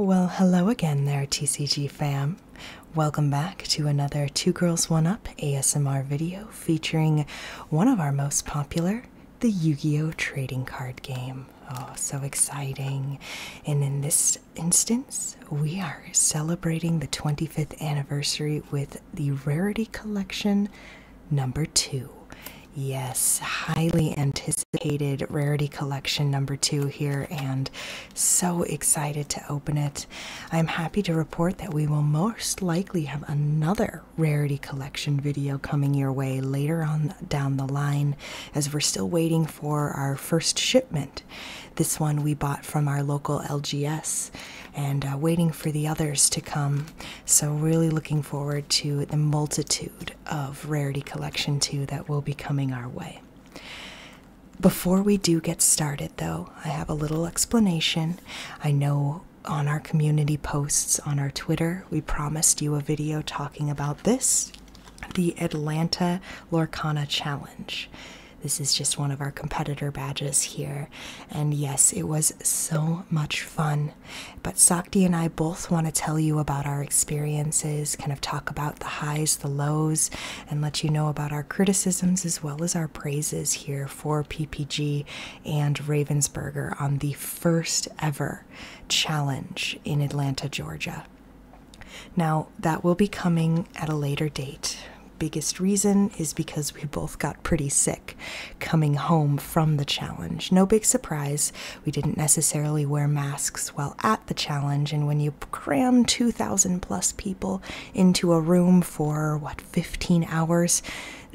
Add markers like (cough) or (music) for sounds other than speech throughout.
Well, hello again there, TCG fam. Welcome back to another Two Girls One Up ASMR video featuring one of our most popular, the Yu Gi Oh! trading card game. Oh, so exciting. And in this instance, we are celebrating the 25th anniversary with the Rarity Collection number two. Yes, highly anticipated Rarity Collection number two here, and so excited to open it. I'm happy to report that we will most likely have another Rarity Collection video coming your way later on down the line, as we're still waiting for our first shipment. This one we bought from our local LGS and uh, waiting for the others to come. So, really looking forward to the multitude of Rarity Collection 2 that will be coming our way. Before we do get started, though, I have a little explanation. I know on our community posts on our Twitter, we promised you a video talking about this the Atlanta Lorcana Challenge. This is just one of our competitor badges here. And yes, it was so much fun. But Sakti and I both want to tell you about our experiences, kind of talk about the highs, the lows, and let you know about our criticisms as well as our praises here for PPG and Ravensburger on the first ever challenge in Atlanta, Georgia. Now, that will be coming at a later date biggest reason is because we both got pretty sick coming home from the challenge. No big surprise, we didn't necessarily wear masks while at the challenge, and when you cram 2,000 plus people into a room for what, 15 hours,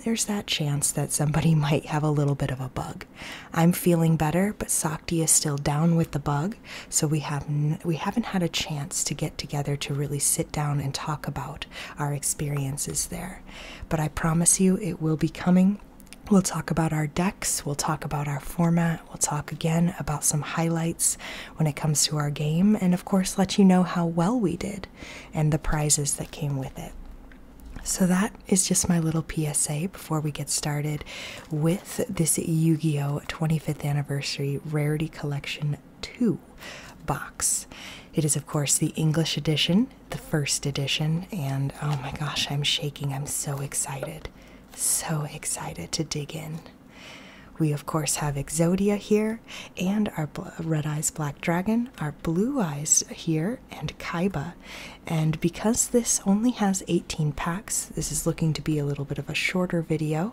there's that chance that somebody (laughs) might have a little bit of a bug. I'm feeling better, but Sakti is still down with the bug, so we haven't we haven't had a chance to get together to really sit down and talk about our experiences there. But I promise you, it will be coming. We'll talk about our decks, we'll talk about our format, we'll talk again about some highlights when it comes to our game, and of course, let you know how well we did and the prizes that came with it. So, that is just my little PSA before we get started with this Yu Gi Oh! 25th Anniversary Rarity Collection 2 box. It is, of course, the English edition, the first edition, and oh my gosh, I'm shaking. I'm so excited. So excited to dig in. We, of course, have Exodia here, and our Red Eyes Black Dragon, our Blue Eyes here, and Kaiba. And because this only has 18 packs, this is looking to be a little bit of a shorter video.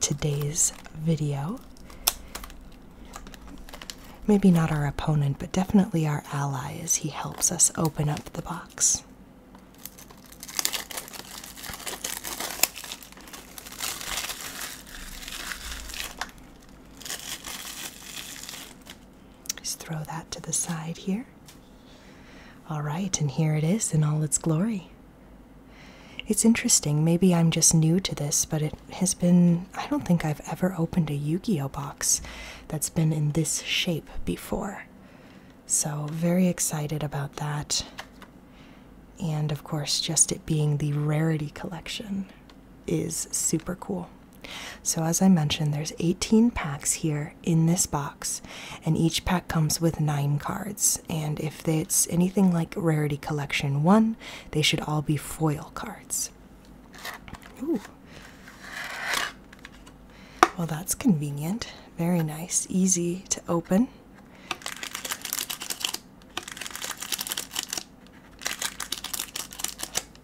today's video. Maybe not our opponent, but definitely our ally as he helps us open up the box. Just throw that to the side here. All right, and here it is in all its glory. It's interesting, maybe I'm just new to this, but it has been. I don't think I've ever opened a Yu Gi Oh! box that's been in this shape before. So, very excited about that. And of course, just it being the rarity collection is super cool. So, as I mentioned, there's 18 packs here in this box, and each pack comes with nine cards. And if it's anything like Rarity Collection 1, they should all be foil cards. Well, that's convenient. Very nice. Easy to open.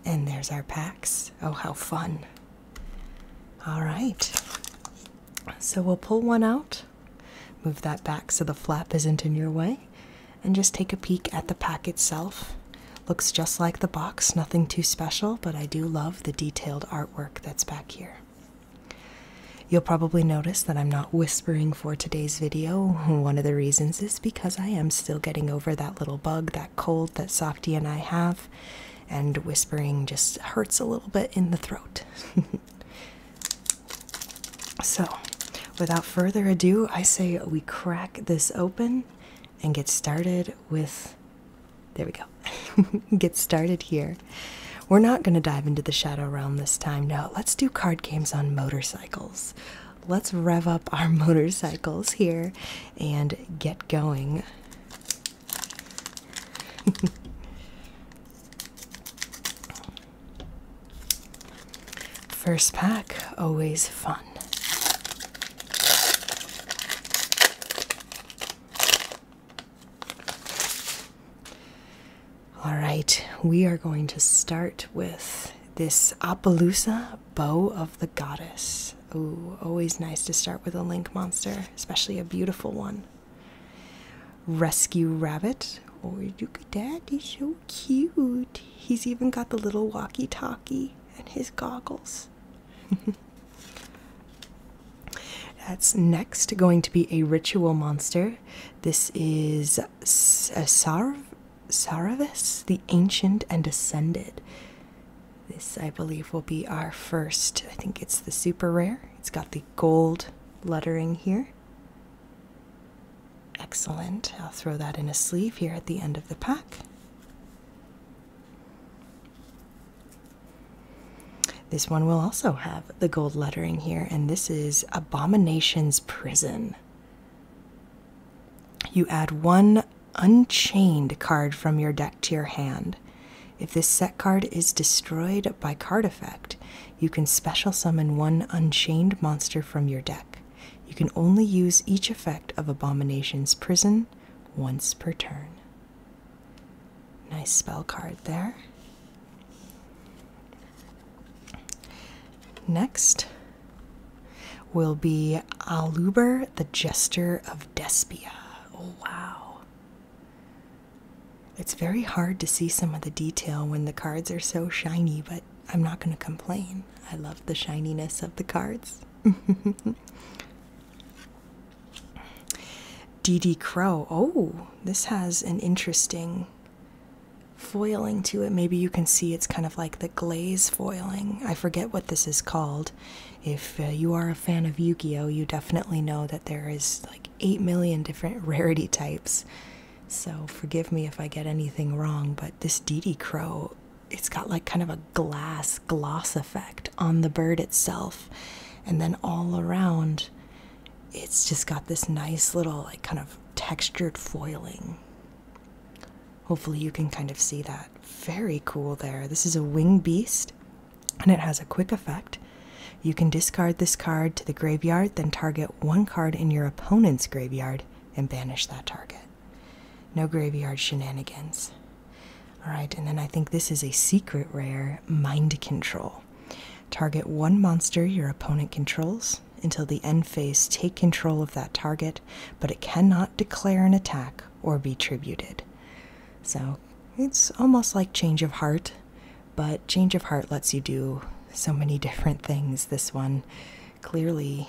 And there's our packs. Oh, how fun! All right. So we'll pull one out Move that back so the flap isn't in your way, and just take a peek at the pack itself. Looks just like the box, nothing too special, but I do love the detailed artwork that's back here. You'll probably notice that I'm not whispering for today's video. One of the reasons is because I am still getting over that little bug, that cold that Softy and I have, and whispering just hurts a little bit in the throat. (laughs) So, without further ado, I say we crack this open and get started with. There we go. (laughs) get started here. We're not going to dive into the Shadow Realm this time. No, let's do card games on motorcycles. Let's rev up our (laughs) motorcycles here and get going. (laughs) First pack, always fun. All right, we are going to start with this Appaloosa Bow of the Goddess. Ooh, always nice to start with a link monster, especially a beautiful one rescue rabbit. or oh, look at that. He's so cute. He's even got the little walkie talkie and his goggles. (laughs) That's next going to be a ritual monster. This is Sarv Saravis, the ancient and ascended. This, I believe, will be our first. I think it's the super rare. It's got the gold lettering here. Excellent. I'll throw that in a sleeve here at the end of the pack. This one will also have the gold lettering here, and this is Abomination's Prison. You add one unchained card from your deck to your hand. If this set card is destroyed by card effect, you can special summon one unchained monster from your deck. You can only use each effect of Abomination's Prison once per turn. Nice spell card there. Next will be Aluber, the Jester of Despia. Oh, wow. It's very hard to see some of the detail when the cards are so shiny, but I'm not going to complain. I love the shininess of the cards. DD (laughs) Crow. Oh, this has an interesting foiling to it. Maybe you can see it's kind of like the glaze foiling. I forget what this is called. If uh, you are a fan of Yu Gi Oh!, you definitely know that there is like 8 million different (laughs) rarity types. So forgive me if I get anything wrong, but this Didi crow, it's got like kind of a glass gloss effect on the bird itself. And then all around, it's just got this nice little, like, kind of textured foiling. Hopefully, you can kind of see that. Very cool there. This is a wing beast and it has a quick effect. You can discard this card to the graveyard, then target one card in your opponent's graveyard and banish that target. No graveyard shenanigans. Alright, and then I think this is a secret rare mind control. Target one monster your opponent controls. Until the end phase, take control of that target, but it cannot declare an attack or be tributed. So it's almost like Change of Heart, but change of heart lets you do so many (laughs) different things. This one, clearly,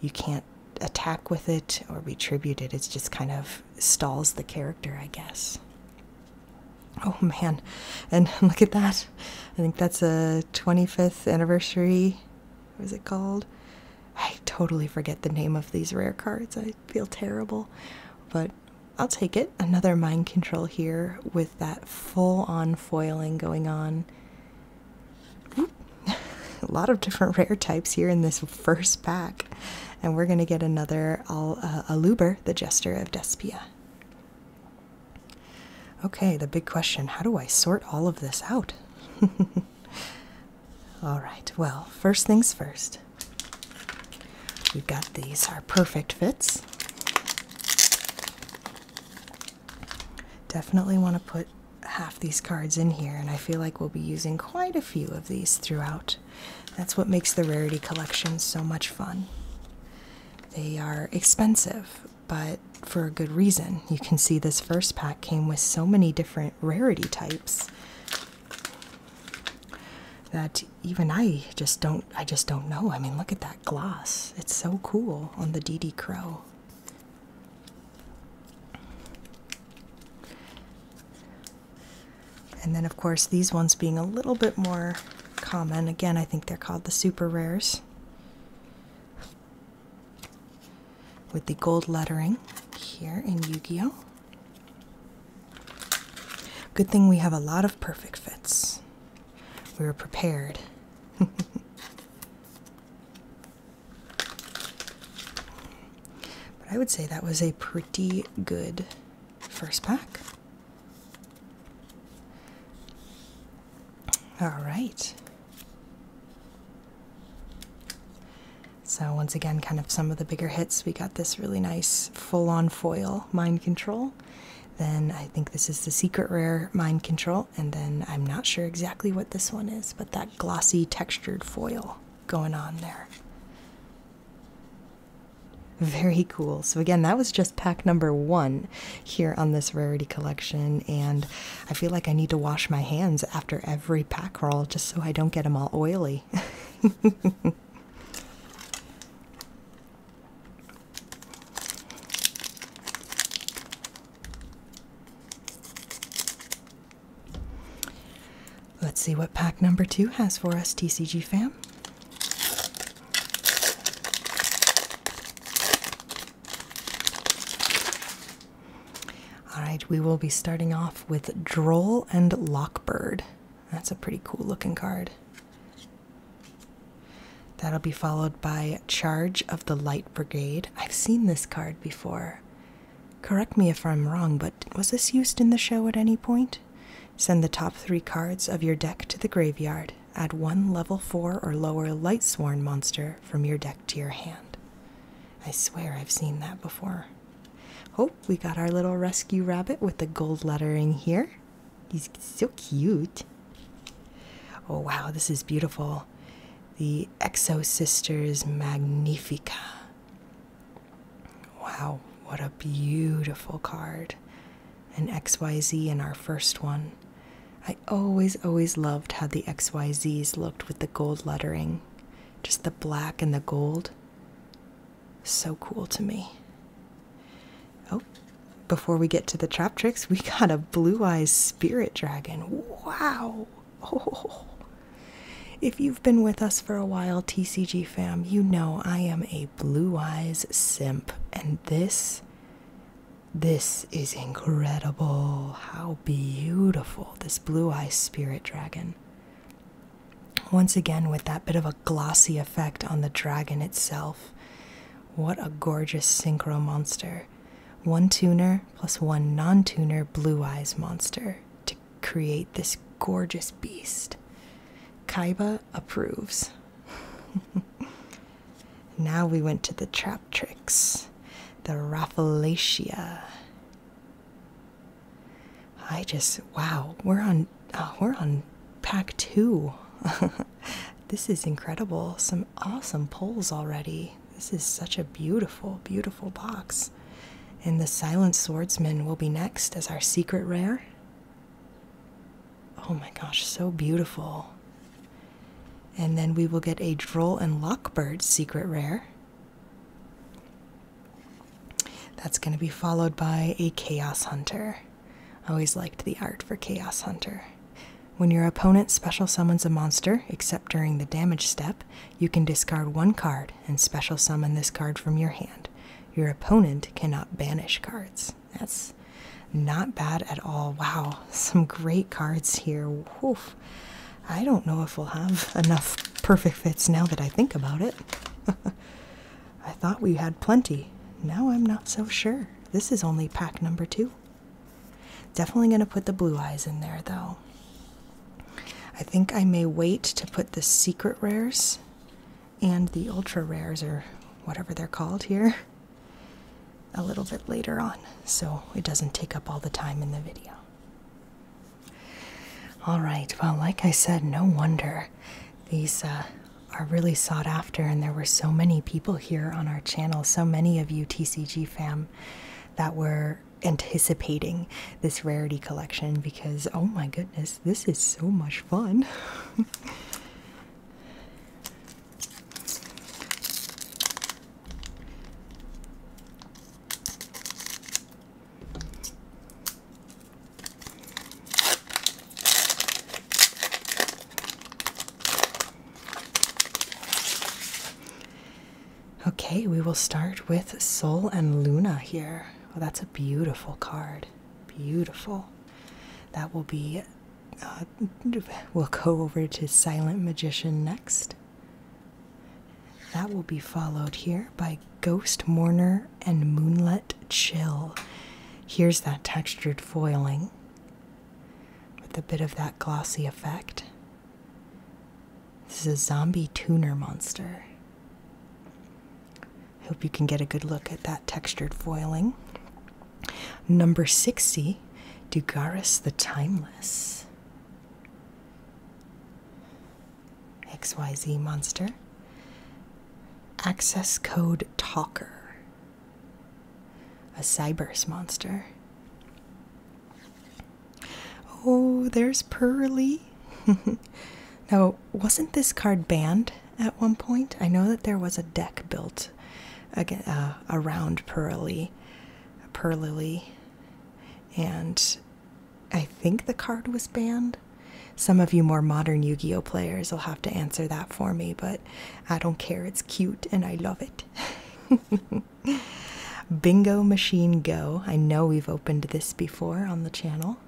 you can't attack with it or retribute it. It just kind of stalls the character, I guess. Oh man, and (laughs) look at that. I think that's a 25th anniversary. What is it called? I totally forget the name of these rare cards. I feel terrible, but I'll take it. Another mind control here with that full on foiling going on. (laughs) A lot of different rare types here in this first pack, and we're going to get another Aluber, uh, the Jester of Despia. Okay, the big question how do I sort all of this out? (laughs) all right, well, first things first. We've got these, are perfect fits. Definitely want to put half these cards in here, and I feel like we'll be using quite a few of these throughout. That's what makes the rarity collection so much fun. They are expensive, but for a good reason. You can see this first pack came with so many different rarity types that even I just don't I just don't know. I mean, look at that gloss. It's so cool on the DD Crow. And then of course these ones being a little bit more common. Again, I think they're called the super rares. With the gold lettering here in Yu-Gi-Oh! Good thing we have a lot of perfect fits. We were prepared. but I would say that was a pretty good first pack. All right. So, once again, kind of some of the bigger hits. We got this really nice full on foil mind control. Then I think this is the Secret Rare Mind Control, and then I'm not sure exactly what this one is, but that glossy textured foil going on there. Very cool. So, again, that was just pack number one here on this rarity collection. And I feel like I need to wash my hands after every pack roll just so I don't get them all oily. (laughs) Let's see what pack number two has for us, TCG fam. All right, we will be starting off with Droll and Lockbird. That's a pretty cool looking card. That'll be followed by Charge of the Light Brigade. I've seen this card before. Correct me if I'm wrong, but was this used in the show at any point? Send the top three cards of your deck to the graveyard. Add one level 4 or lower Light Sworn monster from your deck to your hand. I swear I've seen that before. Oh, we got our little rescue rabbit with the gold lettering here. He's so cute. Oh wow, this is beautiful. The Exo Sisters Magnifica. Wow, what a beautiful card. An XYZ in our first one. I always, always loved how the XYZs looked with the gold lettering. Just the black and the gold. So cool to me. Oh, before we get to the trap tricks, we got a blue eyes spirit dragon. Wow! (laughs) If you've been with us for a while, TCG fam, you know I am a blue eyes simp, and this. This is incredible. How beautiful this blue eyes spirit dragon. Once again, with that bit of a glossy effect on the dragon itself, what a gorgeous synchro monster. One tuner plus one non tuner blue eyes monster to create this gorgeous beast. Kaiba approves. (laughs) now we went to the trap tricks. The Raffalacia. I just, wow, we're on uh, we're on pack two. (laughs) this is incredible. Some awesome pulls already. This is such a beautiful, beautiful box. And the Silent Swordsman will be next as our secret rare. Oh my gosh, so beautiful. And then we will get a Droll and Lockbird secret rare. That's going to be followed by a Chaos Hunter always liked the art for Chaos Hunter. When your opponent special summons a monster, except during the damage step, you can discard one card and special summon this card from your hand. Your opponent cannot banish cards. That's not bad at all. Wow, (laughs) some great cards here. I don't know if we'll have enough (laughs) perfect fits now that I think about it. (laughs) I thought we had plenty. Now I'm not so sure. This is only pack number two. Definitely going to put the blue eyes in there though. I think I may wait to put the secret rares and the ultra rares or whatever they're called here (laughs) a little bit later on so it doesn't take up all the time in the video. All right, well, like I said, no wonder these uh, are really sought after, and there were so many people here on our channel, so many of you TCG fam that were anticipating this rarity collection because oh my goodness, this is so much fun. Okay, we will start with Sol and Luna here. Oh, that's a beautiful card. Beautiful. That will be. Uh, (laughs) we'll go over to Silent Magician next. That will be followed here by Ghost Mourner and Moonlit Chill. Here's that textured foiling with a bit of that glossy effect. This is a zombie tuner monster. I hope you can get a good look at that textured foiling. Number 60, Dugaris the Timeless. XYZ monster. Access code talker. A cybers monster. Oh, there's Pearly. (laughs) now, wasn't this card banned at one point? I know that there was a deck built again, uh, around Pearly, Pearly, and I think the card was banned. Some of you more modern Yu Gi Oh players will have to answer that for me, but I don't care. It's cute and I love it. (laughs) Bingo Machine Go. I know we've opened this before on the channel.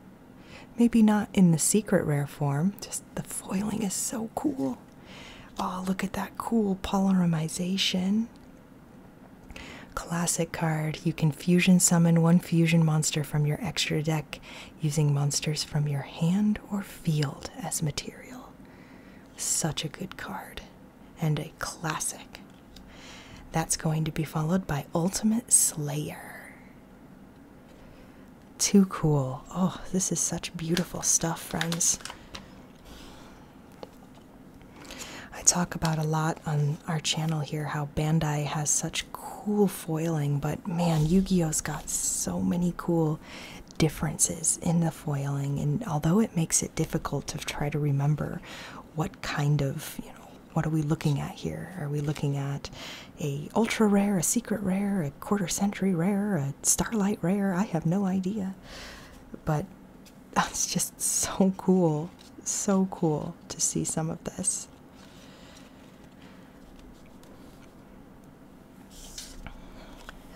Maybe not in the secret rare form, just the foiling is so cool. Oh, look at that cool polymerization. Classic card. You can fusion summon one fusion monster from your extra deck using monsters from your hand or field as material. Such a good card, and a classic. That's going to be followed by Ultimate Slayer. Too cool. Oh, this is such beautiful stuff, friends. I talk about a lot on our channel here how Bandai has such cool foiling, but man, Yu Gi Oh's got so many cool differences in the foiling. And although it makes it difficult to try to remember what kind of, you know, what are we looking at here? Are we looking at a ultra rare, a secret rare, a quarter century rare, a starlight rare? I have no idea. But that's (laughs) just so cool. So cool to see some of this.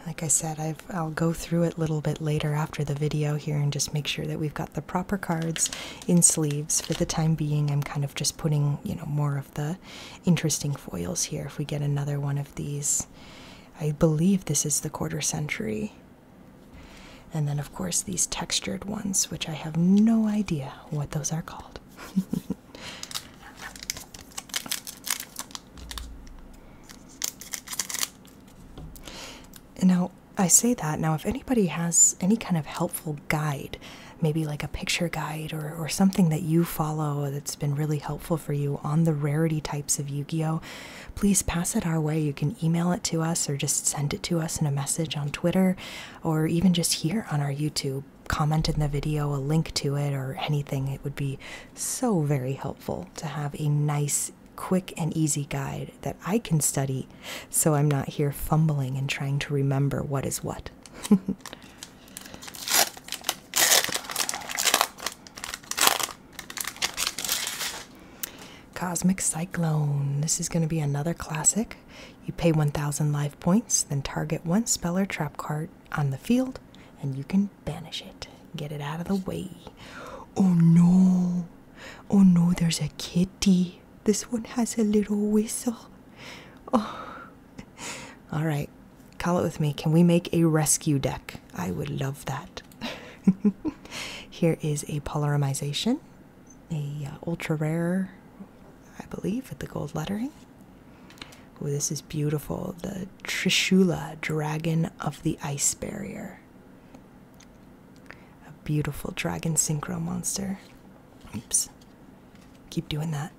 Like I said, i will go through it a little bit later after the video here and just make sure that we've got the proper cards in sleeves. For the time being, I'm kind of just putting, you know, more of the interesting foils here. If we get another one of these, I believe this is the quarter century. And then, of course, these textured ones, which I have no idea what those are called. (laughs) Now, I say that. Now, if anybody has any kind of helpful guide, maybe like a picture guide or, or something that you follow that's been really helpful for you on the rarity types of Yu Gi Oh!, please pass it our way. You can email it to us or just send it to us in a message on Twitter or even just here on our YouTube comment in the video a link to it or anything, it would be so very helpful to have a nice, quick, and easy guide that I can study so I'm not here fumbling and trying to remember what is what. (laughs) Cosmic Cyclone. This is going to be another classic. You pay 1,000 life points, then target one spell or trap card on the field and you can banish it. Get it out of the way. Oh no! Oh no, there's a kitty. This one has a little whistle. Oh. (laughs) All right. Call it with me. Can we make a rescue deck? I would love that. (laughs) Here is a polymerization, a uh, ultra rare, I believe, with the gold lettering. Oh, this is beautiful. The Trishula, Dragon of the Ice Barrier. A beautiful dragon synchro monster. Oops. Keep doing that.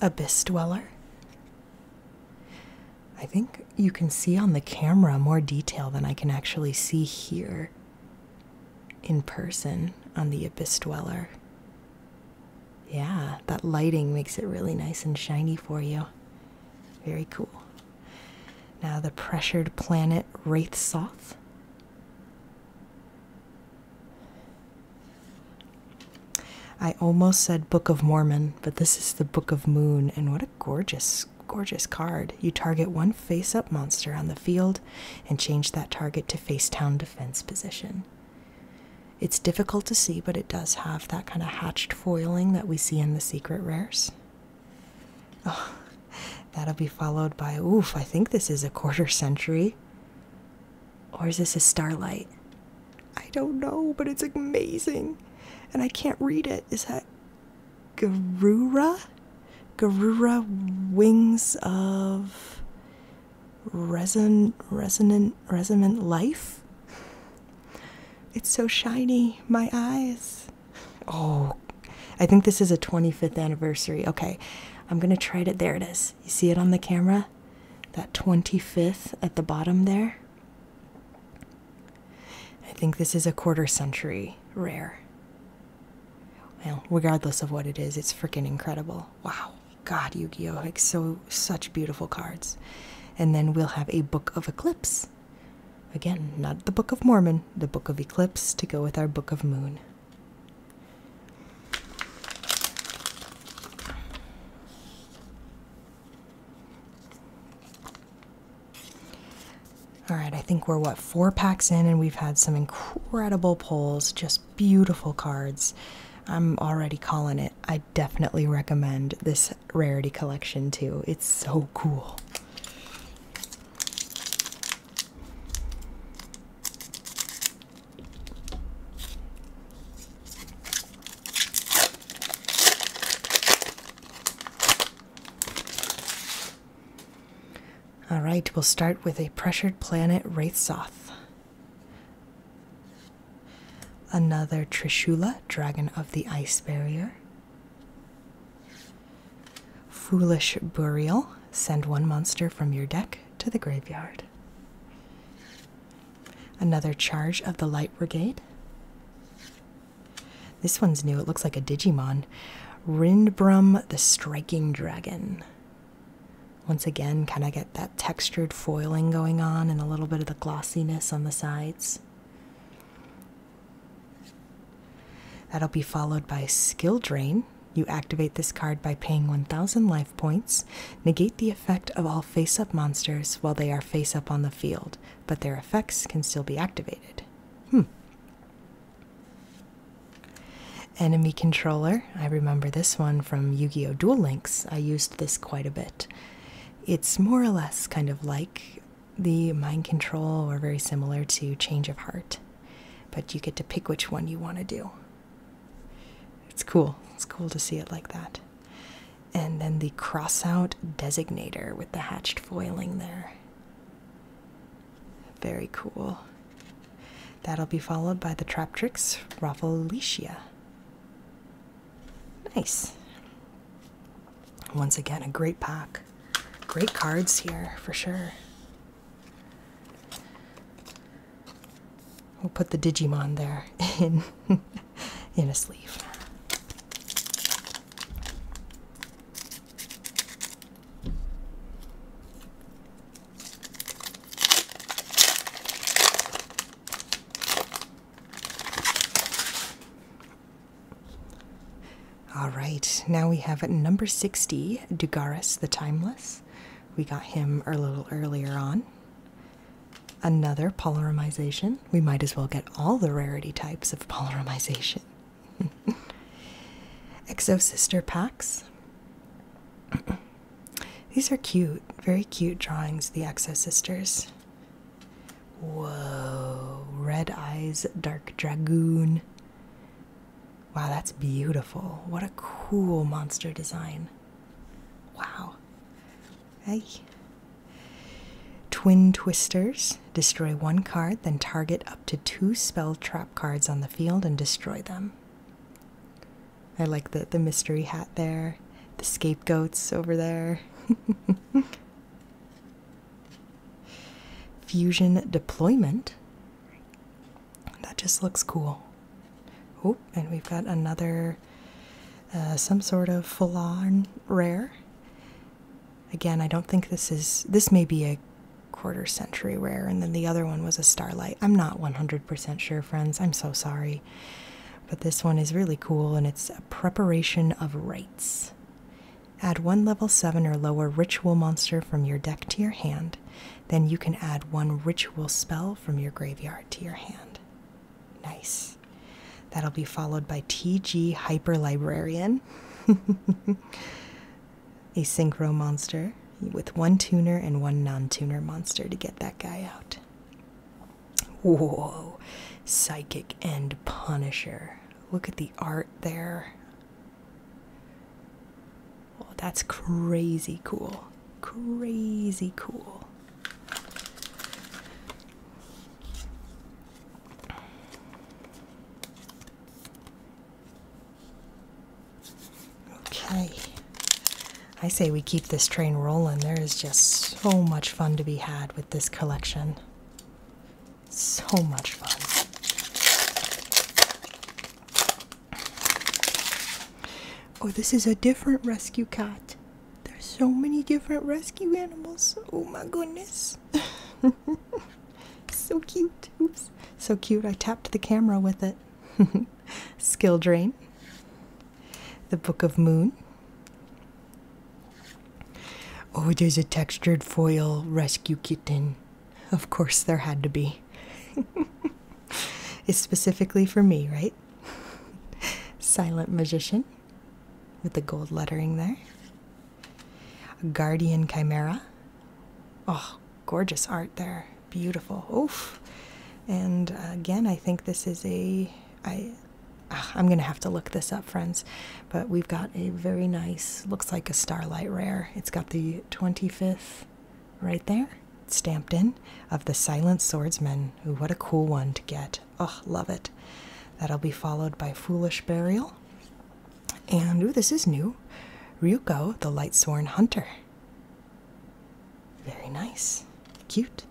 Abyss Dweller. I think you can see on the camera more detail than I can actually see here in person on the Abyss Dweller. Yeah, that lighting makes it really nice and shiny for you. Very cool. Now, the pressured planet Wraith I almost said Book of Mormon, but this is the Book of Moon, and what a gorgeous, gorgeous card. You target one face up monster on the field and change that target to face down defense position. It's difficult to see, but it does have that kind of hatched foiling that we see in the secret rares. (laughs) Oh, that'll be followed by, oof, I think this is a quarter century. Or is this a starlight? I don't know, but it's amazing. And I can't read it. Is that Garura? Garura Wings of reson resonant resonant life. It's so shiny, my eyes. Oh, I think this is a 25th anniversary. Okay, I'm gonna try it. There it is. You see it on the camera? That 25th at the bottom there. I think this is a quarter century rare. Well, regardless of what it is, it's freaking incredible. Wow. God, Yu-Gi-Oh! Like so such beautiful cards. And then we'll have a Book of Eclipse. Again, not the Book of Mormon, the Book of Eclipse to go with our Book of Moon. All right, I think we're what four packs in, and we've had some incredible pulls, just beautiful cards. I'm already calling it. I definitely recommend this rarity collection too. It's so cool. All right, we'll start with a pressured planet, Wraithsoth. Another Trishula, Dragon of the Ice Barrier. Foolish Burial, send one monster from your deck to the graveyard. Another Charge of the Light Brigade. This one's new, it looks like a Digimon. Rindbrum the Striking Dragon. Once again, kind of get that textured foiling going on and a little bit of the glossiness on the sides. That'll be followed by Skill Drain. You activate this card by paying 1000 life points. Negate the effect of all face up monsters while they are face up on the field, but their effects can still be activated. Hmm. Enemy Controller. I remember this one from Yu Gi Oh! Dual Links. I used this quite a bit. It's more or less kind of like the Mind Control or very similar to Change of Heart, but you get to pick which one you want to do. It's cool. It's cool to see it like that. And then the cross out designator with the hatched foiling there. Very cool. That'll be followed by the Trap Tricks Rafflesia. Nice. Once again, a great pack. Great cards here for sure. We'll put the Digimon there (laughs) in in a sleeve. All right, now we have number 60, Dugaris the Timeless. We got him a little earlier on. Another polymerization. We might as well get all the rarity types of polymerization. (laughs) Exo Sister packs. These are cute, very cute drawings, the Exo Sisters. Whoa, Red Eyes Dark Dragoon. Wow, that's beautiful. What a cool monster design. Wow. Hey. Twin Twisters. Destroy one card, then target up to two spell trap cards on the field and destroy them. I like the the mystery hat there, the scapegoats over there. (laughs) Fusion deployment. That just looks cool. Oh, and we've got another uh, some sort of full-on rare. Again, I don't think this is this may be a quarter century rare, and then the other one was a starlight. I'm not 100 100 sure, friends. I'm so sorry. But this one is really cool and it's a preparation of rites. Add one level 7 or lower ritual monster from your deck to your hand. Then you can add one ritual spell from your graveyard to your hand. Nice. That'll be followed by TG Hyper Librarian, (laughs) a synchro monster with one tuner and one non tuner monster to get that guy out. Whoa, Psychic and Punisher. Look at the art there. Oh, that's crazy cool. Crazy cool. Okay. I say we keep this train rolling. There is just so much fun to be had with this collection. So much fun. Oh, this is a different rescue cat. There's so many different rescue animals. Oh my goodness. (laughs) so cute. Oops. So cute. I tapped the camera with it. (laughs) Skill Drain, The Book of Moon. Oh, there's a textured foil rescue kitten. Of course, there had to be. (laughs) it's specifically for me, right? (laughs) Silent Magician with the gold lettering there. guardian Chimera. Oh, gorgeous art there. Beautiful. Oof. And again, I think this is a. I, ah, I'm going to have to look this up, friends. But we've got a very nice, looks like a Starlight Rare. It's got the 25th right there, stamped in, of the Silent Swordsman. Ooh, what a cool one to get. Oh, love it. That'll be followed by Foolish Burial. And, ooh, this is new. Ryuko, the Light Sworn Hunter. Very nice. Cute.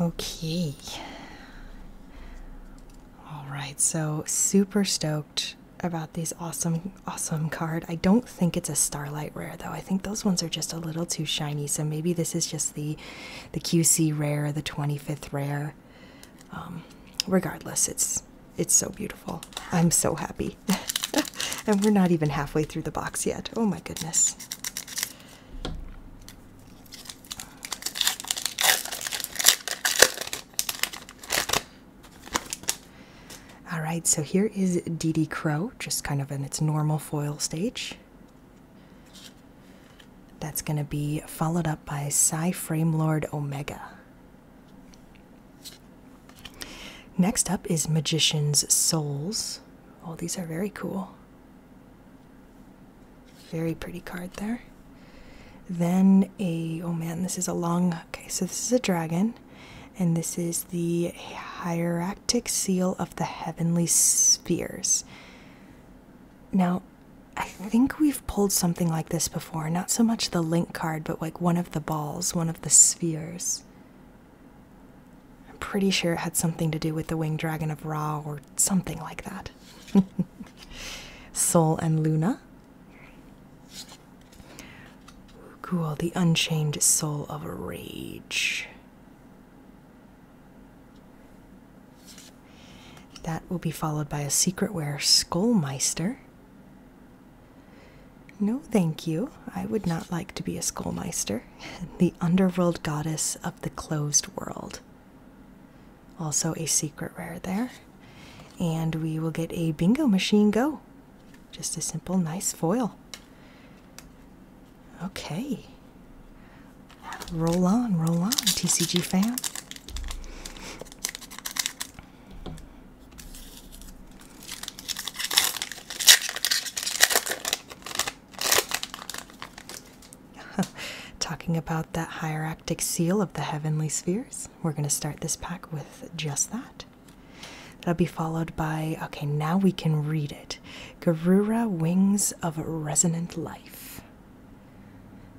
Okay. All right, so super stoked about these awesome, awesome card. I don't think it's a Starlight rare though. I think those ones are just a little too shiny. So maybe this is just the the QC rare, the 25th rare. Um, regardless, it's it's so beautiful. I'm so happy. (laughs) and we're not even halfway through the box yet. Oh my goodness. All right, so here is DD Crow, just kind of in its normal foil stage. That's going to be followed up by Psy Lord Omega. Next up is Magician's Souls. Oh, these are very cool. Very pretty card there. Then a, oh man, this is a long Okay, so this is a dragon, and this is the hieractic seal of the heavenly spheres. Now, I think we've pulled something like this before. Not so much the link card, but like one of the balls, one of the spheres. I'm pretty sure it had something to do with the winged dragon of Ra or something like that. (laughs) Sol and Luna Cool, the unchained soul of rage. That will be followed by a secret rare skullmeister. No, thank you. I would not like to be a skullmeister. (laughs) the underworld goddess of the closed world. Also a secret rare there. And we will get a bingo machine go. Just a simple, nice foil. Okay. Roll on, roll on, TCG fan. (laughs) Talking about that hieractic seal of the heavenly spheres we're going to start this pack with just that. That'll be followed by okay, now we can read it. Garura Wings of Resonant Life.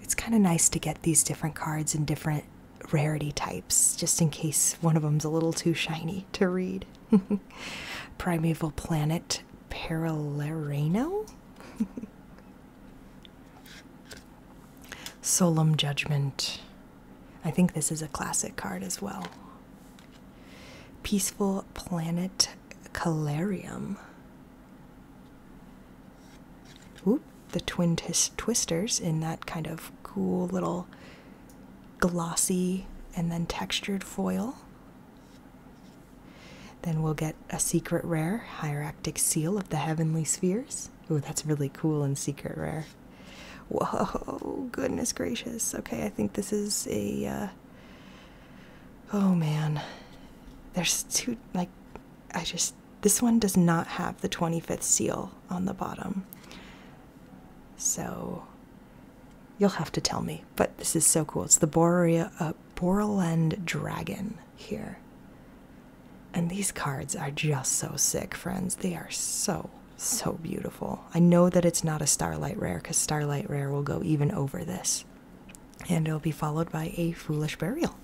It's kind of nice to get these different cards in different rarity types, just in case one of them's a little too shiny to read. (laughs) Primeval Planet Parallelano? (laughs) Solemn Judgment. I think this is a classic card as well. Peaceful Planet Calarium. Oop, the twin twisters in that kind of cool little glossy and then textured foil. Then we'll get a secret rare, Hieractic Seal of the Heavenly Spheres. Ooh, that's really cool and secret rare. Whoa, goodness gracious. Okay, I think this is a. Uh, oh man. There's two. Like, I just. This one does not have the 25th seal on the bottom. So. You'll have to tell me. But this is so cool. It's the Borea, uh, Dragon here. And these cards are just so sick, friends. They are so, so beautiful. I know that it's not a Starlight Rare because Starlight Rare will go even over this. And it'll be followed by a Foolish Burial.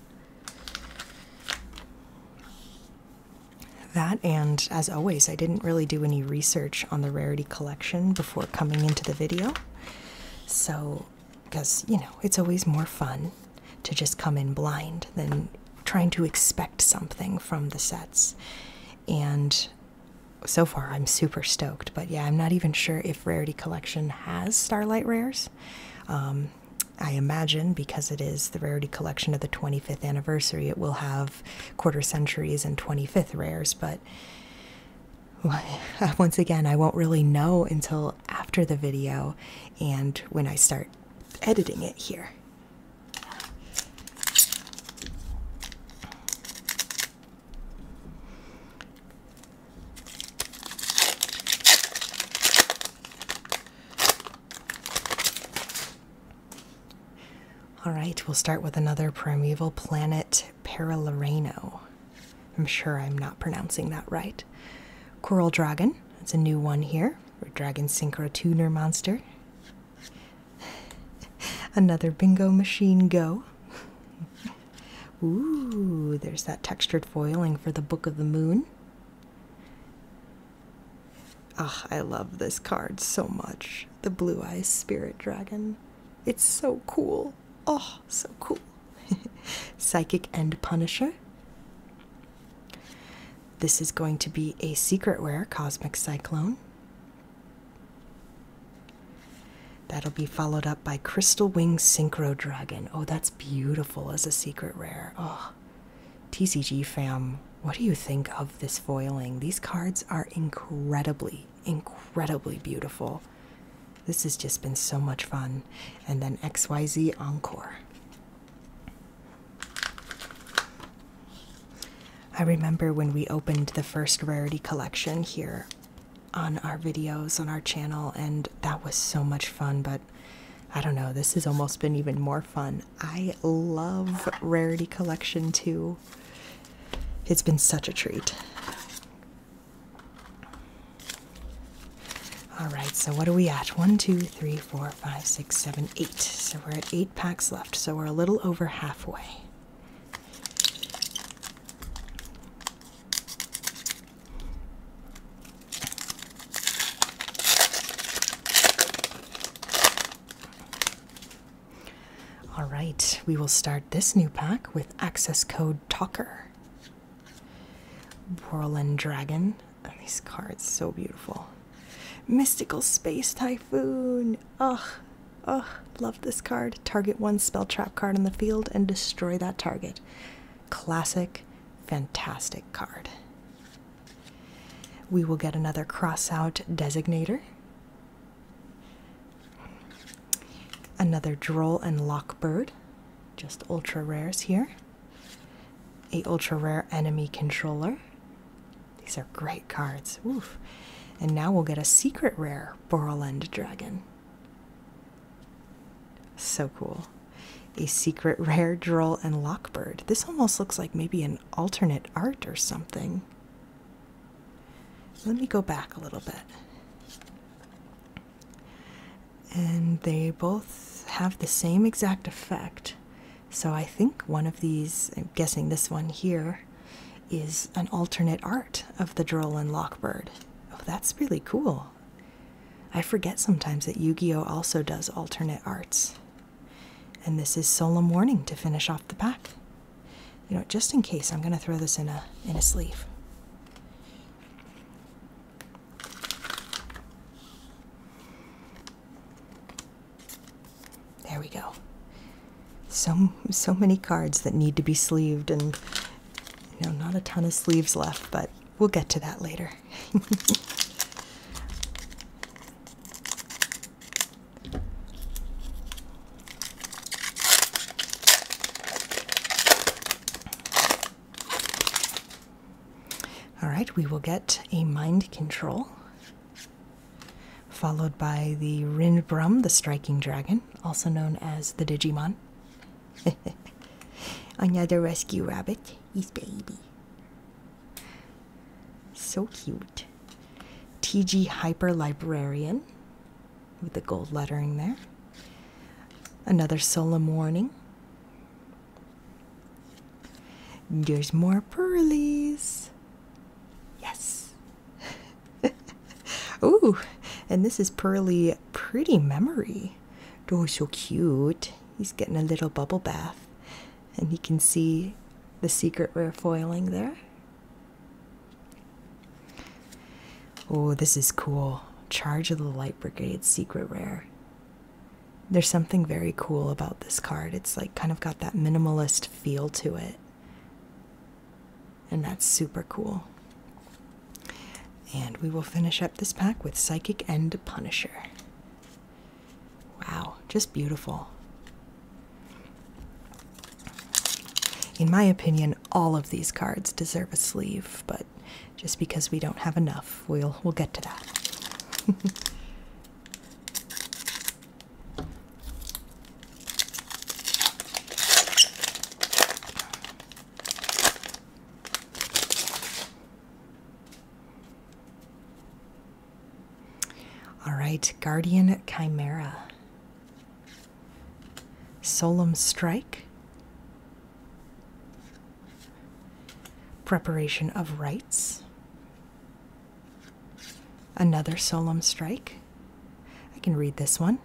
That, and as always, I didn't really do any research on the rarity collection before coming into the video. So, because, you know, it's always more fun to just come in blind than trying to expect something from the sets. And so far, I'm super stoked. But yeah, I'm not even sure if Rarity Collection has Starlight Rares. Um, I imagine because it is the Rarity Collection of the 25th anniversary, it will have quarter centuries and 25th rares. But (laughs) once again, I won't really know until after the video and when I start editing it here. All right, we'll start with another primeval planet, Paralurano. I'm sure I'm not pronouncing that right. Coral Dragon, It's a new one here or Dragon Synchro Tuner Monster. Another Bingo Machine Go. Ooh, there's that textured foiling for the Book of the Moon. Ah, oh, I love this card so much. The Blue Eyes Spirit Dragon. It's so cool. Oh, so cool. (laughs) Psychic end Punisher. This is going to be a secret rare Cosmic Cyclone. That'll be followed up by Crystal Wing Synchro Dragon. Oh, that's beautiful as a secret rare. Oh, TCG fam, what do you think of this foiling? These cards are incredibly, incredibly beautiful. This has just been so much fun. And then XYZ Encore. I remember when we opened the first rarity collection here on our videos on our channel, and that was so much fun. But I don't know, this has almost been even more fun. I love rarity collection too, it's been such a treat. All right, so what are we at? One, two, three, four, Five, six, seven, eight. So we're at eight packs left. So we're a little over halfway. All right, we will start this new pack with access code Talker. Whirlwind Dragon, these cards, so beautiful. Mystical Space Typhoon. Ugh, ugh, love this card. Target one spell trap card in the field and destroy that target. Classic, fantastic card. We will get another cross out designator. Another Droll and Lockbird, just ultra rares here a ultra rare enemy controller. These are great cards. Oof. And now we'll get a secret rare Borland Dragon. So cool. A secret (laughs) rare Droll and Lockbird. This almost looks like maybe an alternate art or something. Let me go back a little bit. And they both have the same exact effect. So I think one of these, I'm guessing this one here, is an alternate art of the and Lockbird. Oh, that's really cool. I forget sometimes that Yu Gi Oh! also does alternate arts. And this is Solemn Warning to finish off the pack. You know, just in case, I'm going to throw this in a, in a sleeve. There we go. So so many cards that need to be sleeved and you know not a ton of sleeves left, but we'll get to that later. All right, we will get a mind control, followed by the Rindbrum, the striking dragon, also known as the Digimon. (laughs) Another rescue rabbit, he's baby. So cute. TG Hyper Librarian with the gold lettering there. Another solemn warning. There's more pearlys. Yes. (laughs) Ooh, and this is Pearly Pretty Memory. Oh, so cute. He's getting a little bubble bath. And he can see the secret rare foiling there. Oh, this is cool. Charge of the Light Brigade secret rare. There's something very cool about this card. It's like kind of got that minimalist feel to it. And that's super cool. And we will finish up this pack with Psychic and Punisher. Wow, just beautiful. In my opinion, all of these cards deserve a sleeve, but just because we don't have enough. We'll we'll get to that. (laughs) All right, Guardian Chimera. Solemn Strike preparation of rites, another solemn strike. I can read this one.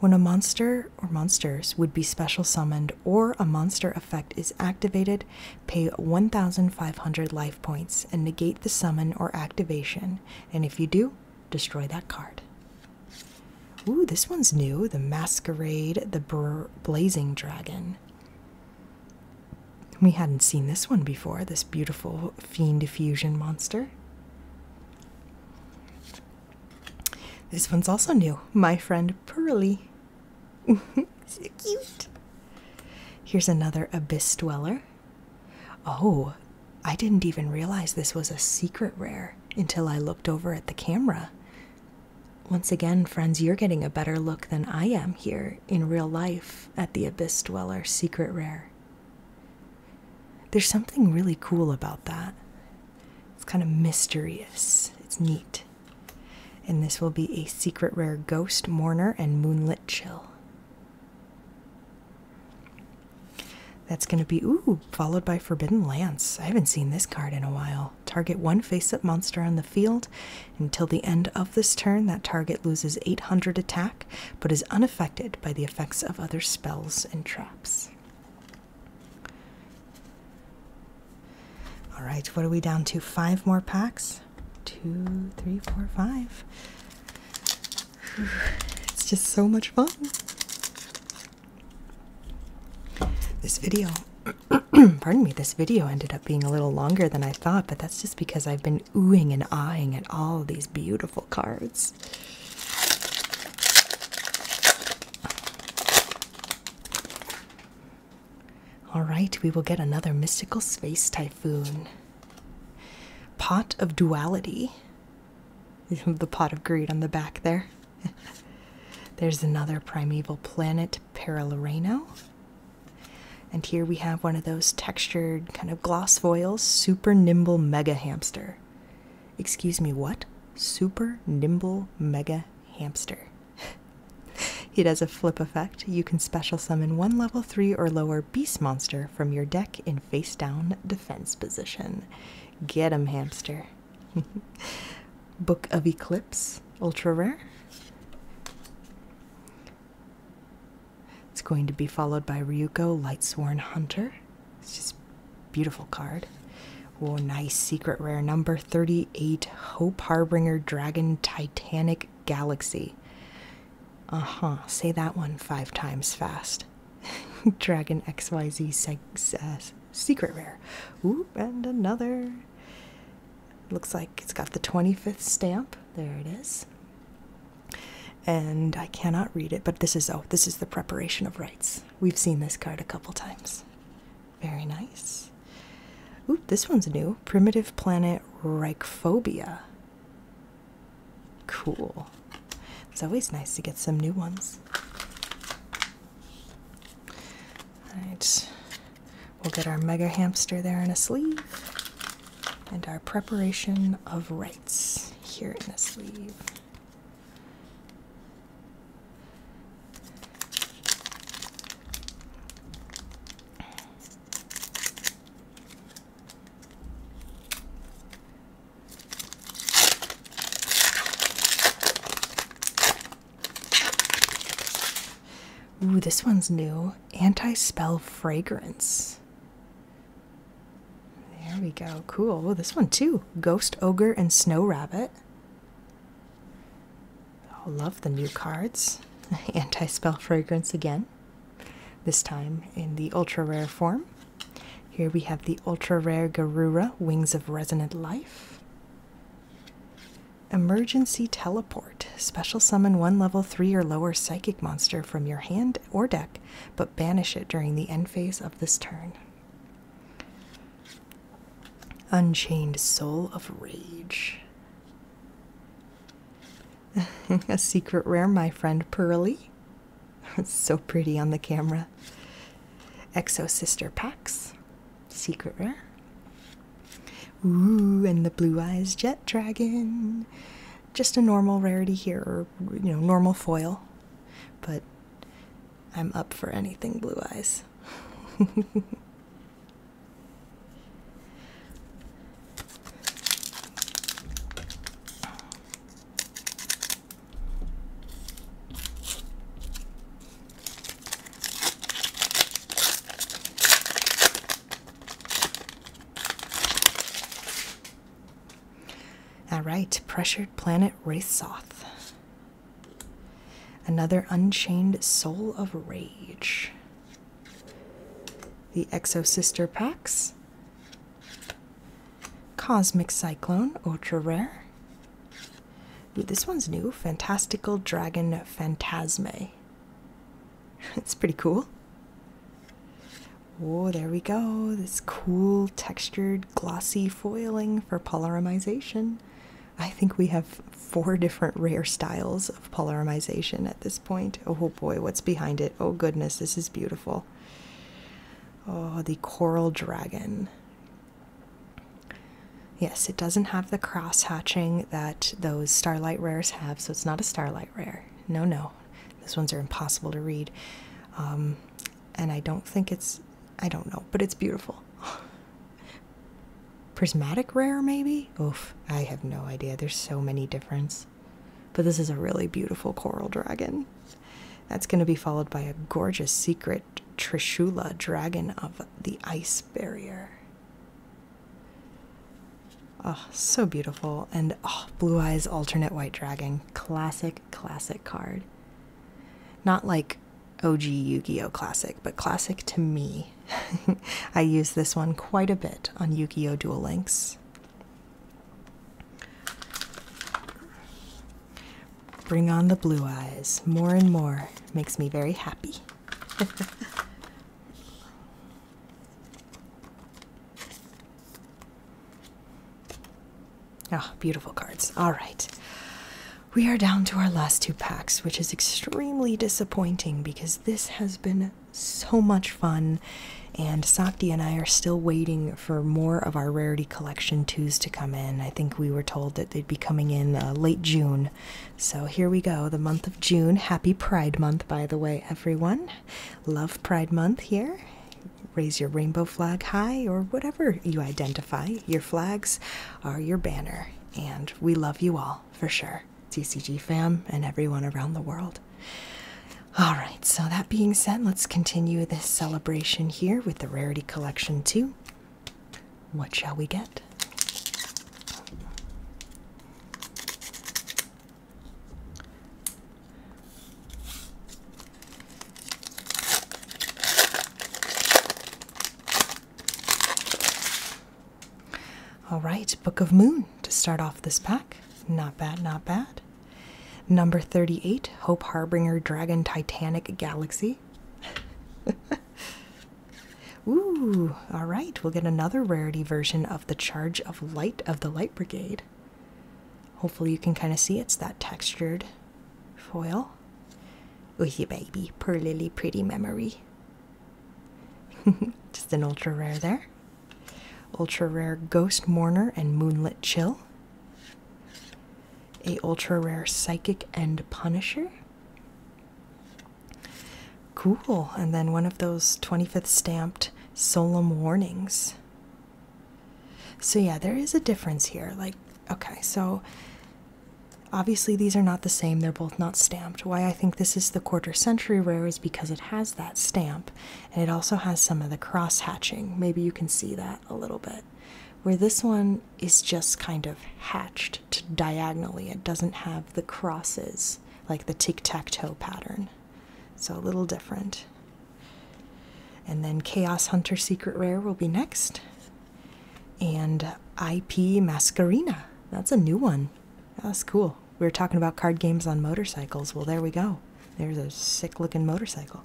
When a monster or monsters would be special summoned or a monster effect is activated, pay 1,500 life points and negate the summon or activation. And if you do, destroy that card. Ooh, this one's new. The Masquerade, the Blazing Dragon. We hadn't seen this one before, this beautiful fiend fusion monster. This one's also new. My friend Pearly. (laughs) so cute. Here's another abyss dweller. Oh, I didn't even realize this was a secret rare until I looked over at the camera. Once again, friends, you're getting a better look than I am here in real life at the Abyss Dweller Secret Rare. There's something really cool about that. It's kind of mysterious, it's neat. And this will be a Secret Rare Ghost, Mourner, and Moonlit Chill. That's going to be, ooh, followed by Forbidden Lance. I haven't seen this card in a while. Target one face up monster on the field. Until the end of this turn, that target loses 800 attack but is unaffected by the effects of other spells and traps. All right, what are we down to? Five more packs. Two, three, four, five. (sighs) It's just so much fun. This video (clears throat) (clears throat) Pardon me, this video ended up being a little longer than I thought, but that's just because I've been oohing and eyeing at all these beautiful cards. All right, we will get another mystical space typhoon. Pot of duality. (laughs) the pot of greed on the back there. (laughs) There's another primeval planet Paraloreno. And here we have one of those textured kind of gloss foils, super nimble mega hamster. Excuse me, what? Super nimble mega hamster. (laughs) It has a flip effect. You can special summon one level 3 or lower beast monster from your deck in face down defense position. Get him, hamster. (laughs) Book of Eclipse, ultra rare. It's going to be followed by Ryuko Lightsworn Hunter. It's just beautiful card. Oh, nice secret rare number 38 Hope Harbinger Dragon Titanic Galaxy. Uh-huh, say that one 5 times fast. (laughs) Dragon XYZ seg uh, secret rare. Oop, and another looks like it's got the 25th stamp. There it is. And I cannot read it, but this is oh, this is the preparation of rites. We've seen this card a couple times. Very nice. Oop, this one's new. Primitive planet Reichphobia. Cool. It's always nice to get some new ones. Alright. We'll get our mega hamster there in a sleeve, and our preparation of rights here in a sleeve. Ooh, this one's new. Anti spell fragrance. There we go. Cool. Oh, this one too. Ghost Ogre and Snow Rabbit. I love the new cards. (laughs) Anti spell fragrance again. This time in the ultra rare form. Here we have the ultra rare Garura Wings of Resonant Life. Emergency Teleport. Special summon one level 3 or lower psychic monster from your hand or deck, but banish it during the end phase of this turn. Unchained Soul of Rage. (laughs) A secret rare, my friend Pearly. (laughs) so pretty on the camera. Exo Sister Pax. Secret rare. Ooh, and the blue eyes jet dragon. Just a normal rarity here, or you know, normal foil. But I'm up for anything blue eyes. All right, pressured planet Wraithsoth. Another unchained soul of rage. The Exosister Sister packs. Cosmic Cyclone, ultra rare this one's new Fantastical Dragon Phantasme. (laughs) it's pretty cool. Oh, there we go. This cool textured glossy foiling for polymerization. I think we have four different rare styles of polymerization at this point. Oh boy, what's behind it? Oh goodness, this is beautiful. Oh, the coral dragon. Yes, it doesn't have the cross hatching that those Starlight Rares have, so it's not a Starlight Rare. No, no. these ones are impossible to read. Um, and I don't think it's. I don't know, but it's beautiful. (sighs) Prismatic Rare, maybe? Oof, I have no idea. There's so many difference. But this is a really beautiful coral dragon. That's going to be followed by a gorgeous secret Trishula dragon of the ice barrier. Oh, so beautiful. And oh, Blue Eyes Alternate White Dragon. Classic, classic card. Not like OG Yu Gi Oh! Classic, but classic to me. (laughs) I use this one quite a bit on Yu Gi Oh! Duel Links. Bring on the Blue Eyes. More and more makes me very happy oh, (laughs) beautiful cards. All right. We are down to our last two packs, which is extremely disappointing because this has been so much fun, and Sakti and I are still waiting for more of our Rarity Collection 2s to come in. I think we were told that they'd be coming in uh, late June, so here we go, the month of June. Happy Pride Month, by the way, everyone. Love Pride Month here. Raise your rainbow flag high or whatever you identify. Your flags are your banner. And we love you all for sure, TCG fam and everyone around the world. All right, so that being said, let's continue this celebration here with the Rarity Collection 2. What shall we get? All right, Book of Moon to start off this pack. Not bad, not bad. Number 38, Hope Harbinger Dragon Titanic Galaxy. (laughs) Ooh, all right, we'll get another rarity version of the Charge of Light of the Light Brigade. Hopefully, you can kind of see it's that textured foil. With yeah, baby, per lily, pretty memory. (laughs) Just an ultra rare there. Ultra rare Ghost Mourner and Moonlit Chill. A ultra rare Psychic and Punisher. Cool. And then one of those 25th stamped solemn warnings. So, yeah, there is a difference here. Like, okay, so obviously these are not the same. They're both not stamped. Why I think this is the quarter century rare is because it has that stamp and it also has some of the cross hatching. Maybe you can see that a little bit. Where this one is just kind of hatched diagonally. It doesn't have the crosses like the tic tac toe pattern. So a little different. And then Chaos Hunter Secret Rare will be next. And IP Mascarina. That's a new one. That's cool. We are talking about card games on motorcycles. Well, there we go. There's a sick looking motorcycle.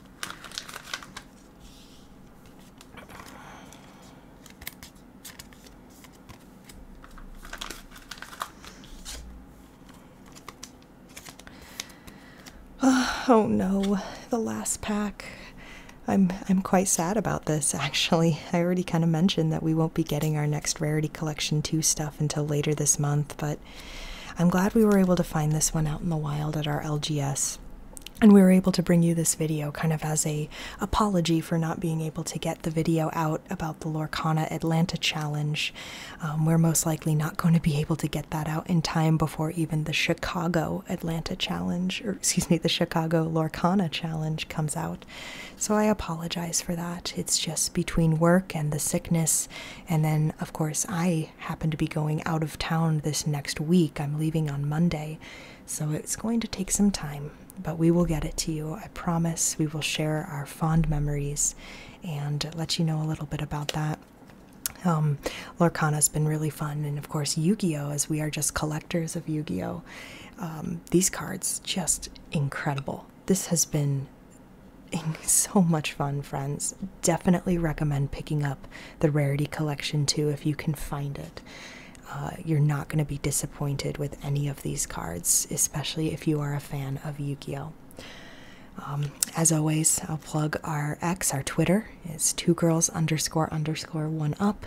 (sighs) Oh no, the last pack. I'm I'm quite sad about this actually. I already kind of mentioned that we won't be getting our next rarity collection 2 stuff until later this month, but I'm glad we were able to find this one out in the wild at our LGS and we were able to bring you this video kind of as a apology for not being able to get the video out about the Lorcana Atlanta challenge. Um, we're most likely not going to be able to get that out in time before even the Chicago Atlanta challenge, or excuse me, the Chicago Lorcana challenge comes out. So I apologize for that. It's just between work and the sickness, and then of course I happen to be going out of town this next week. I'm leaving on Monday. So it's going to take some time but we will get it to you. I promise we will share our fond memories and let you know a little bit about that. Um, Lorcana's been really fun, and of course, Yu Gi Oh! as we are just collectors of Yu Gi Oh! Um, these cards just incredible. This has been (laughs) so much fun, friends. Definitely recommend picking up the Rarity Collection too if you can find it. Uh, you're not going to be disappointed with any of these cards, especially if you are a fan of Yu Gi Oh! Um, as always, I'll plug our X, our Twitter is two girls underscore underscore one up.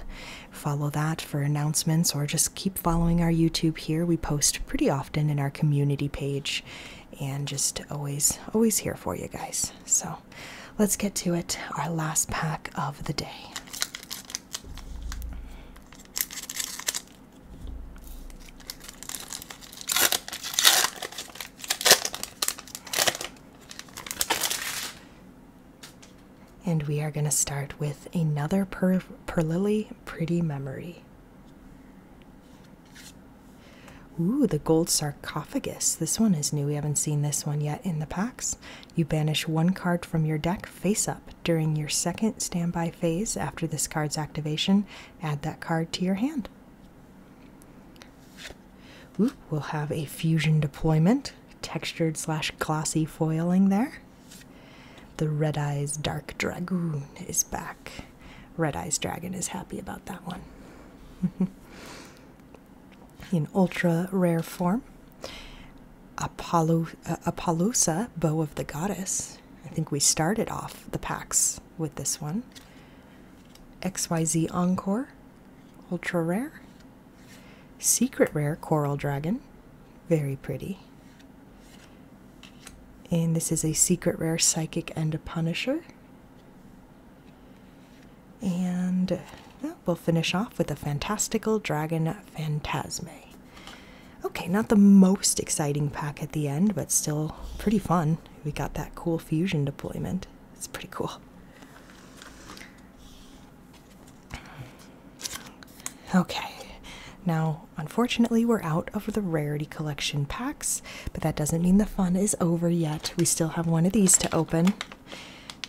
Follow that for announcements or just keep following our YouTube here. We post pretty often in our community page and just always, always here for you guys. So let's get to it. Our last pack of the day. And we are going to start with another per, Lily Pretty Memory. Ooh, the gold sarcophagus. This one is new. We haven't seen this one yet in the packs. You banish one card from your deck face up. During your second standby phase after this card's activation, add that card to your hand. Ooh, we'll have a fusion deployment, textured slash glossy foiling there. The Red Eyes Dark Dragoon is back. Red Eyes Dragon is happy about that one. (laughs) in ultra rare form. Apalusa, uh, Bow of the Goddess. I think we started off the packs with this one. XYZ Encore, ultra rare. Secret rare Coral Dragon, very pretty. And this is a secret rare Psychic and a Punisher. And we'll finish off with a fantastical dragon phantasm. Okay, not the most exciting pack at the end, but still pretty fun. We got that cool fusion deployment. It's pretty cool. Okay, now unfortunately we're out of the rarity collection packs, but that doesn't mean the fun is over yet. We still have one of these to open.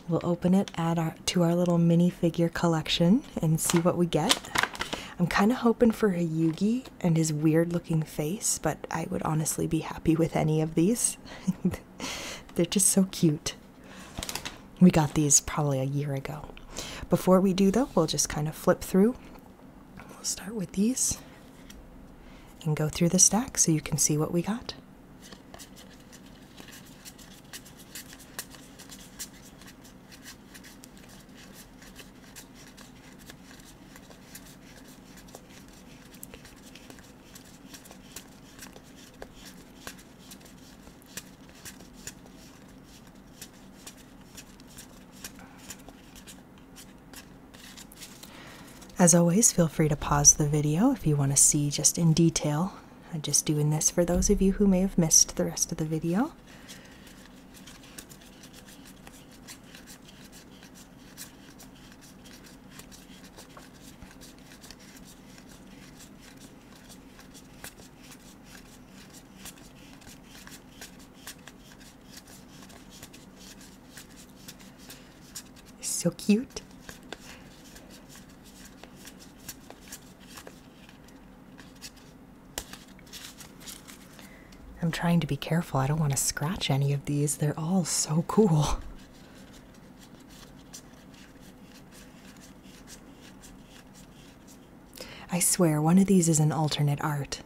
We'll open it add to our little minifigure collection and see what we get. I'm kind of hoping for a Yugi and his weird looking face, but I would honestly be happy with any of these. (laughs) They're just so cute. We got these probably a year ago. Before we do, though, we'll just kind of flip through. We'll start with these and go through the stack so you can see what we got. As always, feel free to pause the video if you want to see just in detail I'm just doing this for those of you who may have missed the rest of the video. So cute. I'm trying to be careful. I don't want to scratch any of these. They're all so cool. I swear, one of these is an alternate art.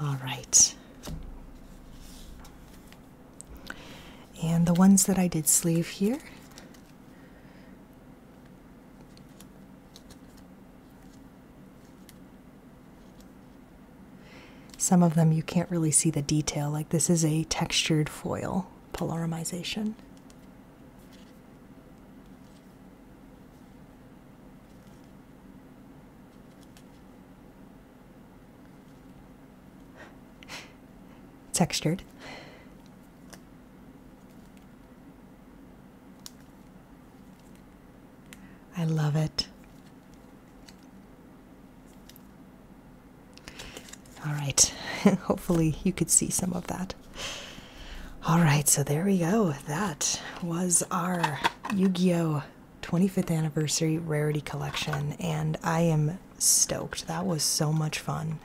All right. And the ones that I did sleeve here. Some of them you can't really see the detail, like this is a textured foil polymerization. Textured. I love it. All right, (laughs) hopefully, you could see some of that. (laughs) All right, so there we go. That was our Yu Gi Oh! 25th Anniversary Rarity Collection, and I am stoked. That was so much fun.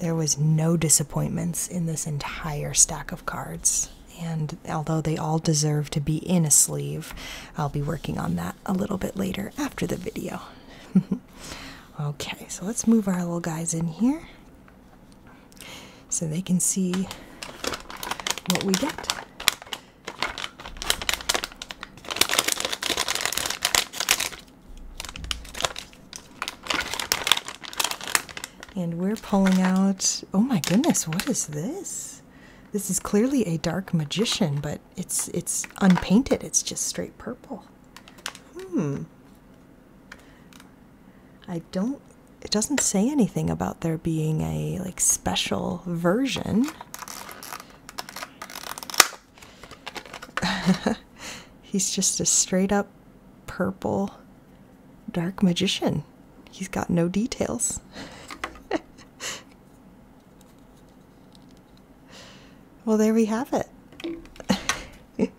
There was no disappointments in this entire stack of cards. And although they all deserve to be in a sleeve, I'll be working on that a little bit later after the video. (laughs) okay, so let's move our little guys in here so they can see what we get. And we're pulling out, oh my goodness, what is this? This is clearly a dark magician, but it's it's unpainted. It's just straight purple. Hmm. I don't it doesn't say anything about there being a like special version. (laughs) He's just a straight up purple dark magician. He's got no details. (laughs) Well, there we have it.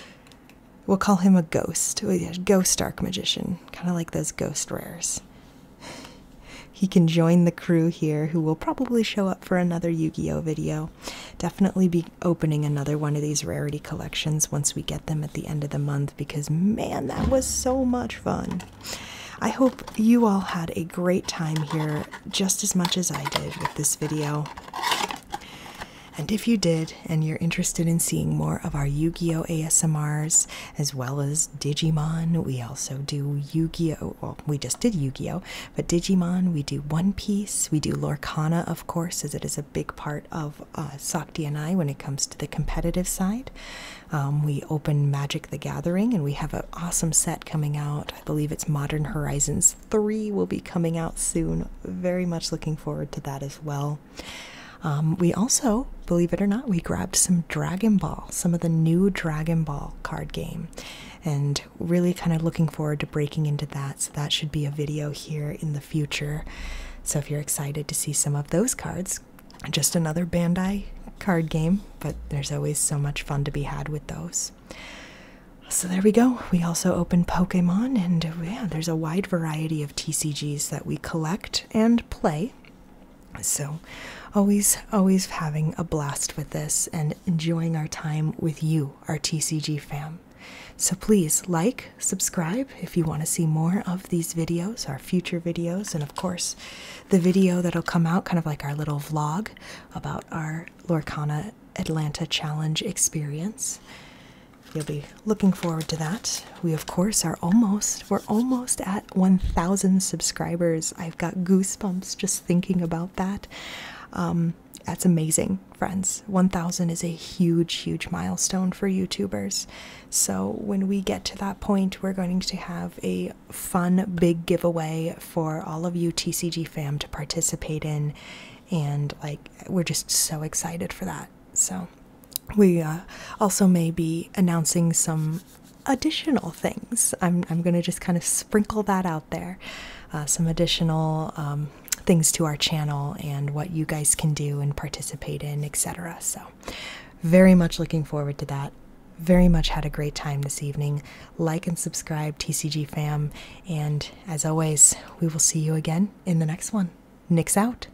(laughs) we'll call him a ghost. Ghost Dark Magician. Kind of like those ghost rares. He can join the crew here, who will probably show up for another Yu Gi Oh! video. Definitely be opening another one of these rarity collections once we get them at the end of the month because, man, that was so much fun. I hope you all had a great time here just as much as I did with this video. And if you did, and you're interested in seeing more of our Yu Gi Oh! ASMRs as well as Digimon, we also do Yu Gi Oh! Well, we just did Yu Gi Oh! But Digimon, we do One Piece, we do Lorcana, of course, as it is a big part of uh, Sakti and I when it comes to the competitive side. Um, we open Magic the Gathering, and we have an awesome set coming out. I believe it's Modern Horizons 3 will be coming out soon. Very much looking forward to that as well. Um, we also, believe it or not, we grabbed some Dragon Ball, some of the new Dragon Ball card game, and really kind of looking forward to breaking into that. So, that should be a video here in the future. So, if you're excited to see some of those cards, just another Bandai card game, but there's always so much fun to be had with those. So there we go. We also open Pokemon, and yeah, there's a wide variety of TCGs that we collect and play. So always, always having a blast with this and enjoying our time with you, our TCG fam. So please like, subscribe if you want to see more of these videos, our future videos, and of course, the video that'll come out, kind of like our little vlog about our Lorcana Atlanta Challenge experience. You'll be looking forward to that. We, of course, are almost, we're almost at 1,000 subscribers. I've got goosebumps just thinking about that. Um, that's amazing, friends. 1,000 is a huge, huge milestone for YouTubers. So, when we get to that point, we're going to have a fun big giveaway for all of you TCG fam to participate in and like we're just so excited for that. So we uh, also may be announcing some additional things. I'm I'm gonna just kind of sprinkle that out there, uh, some additional um, things to our channel and what you guys can do and participate in, etc. So very much looking forward to that. Very much had a great time this evening. Like and subscribe, TCG fam, and as always, we will see you again in the next one. Nick's out.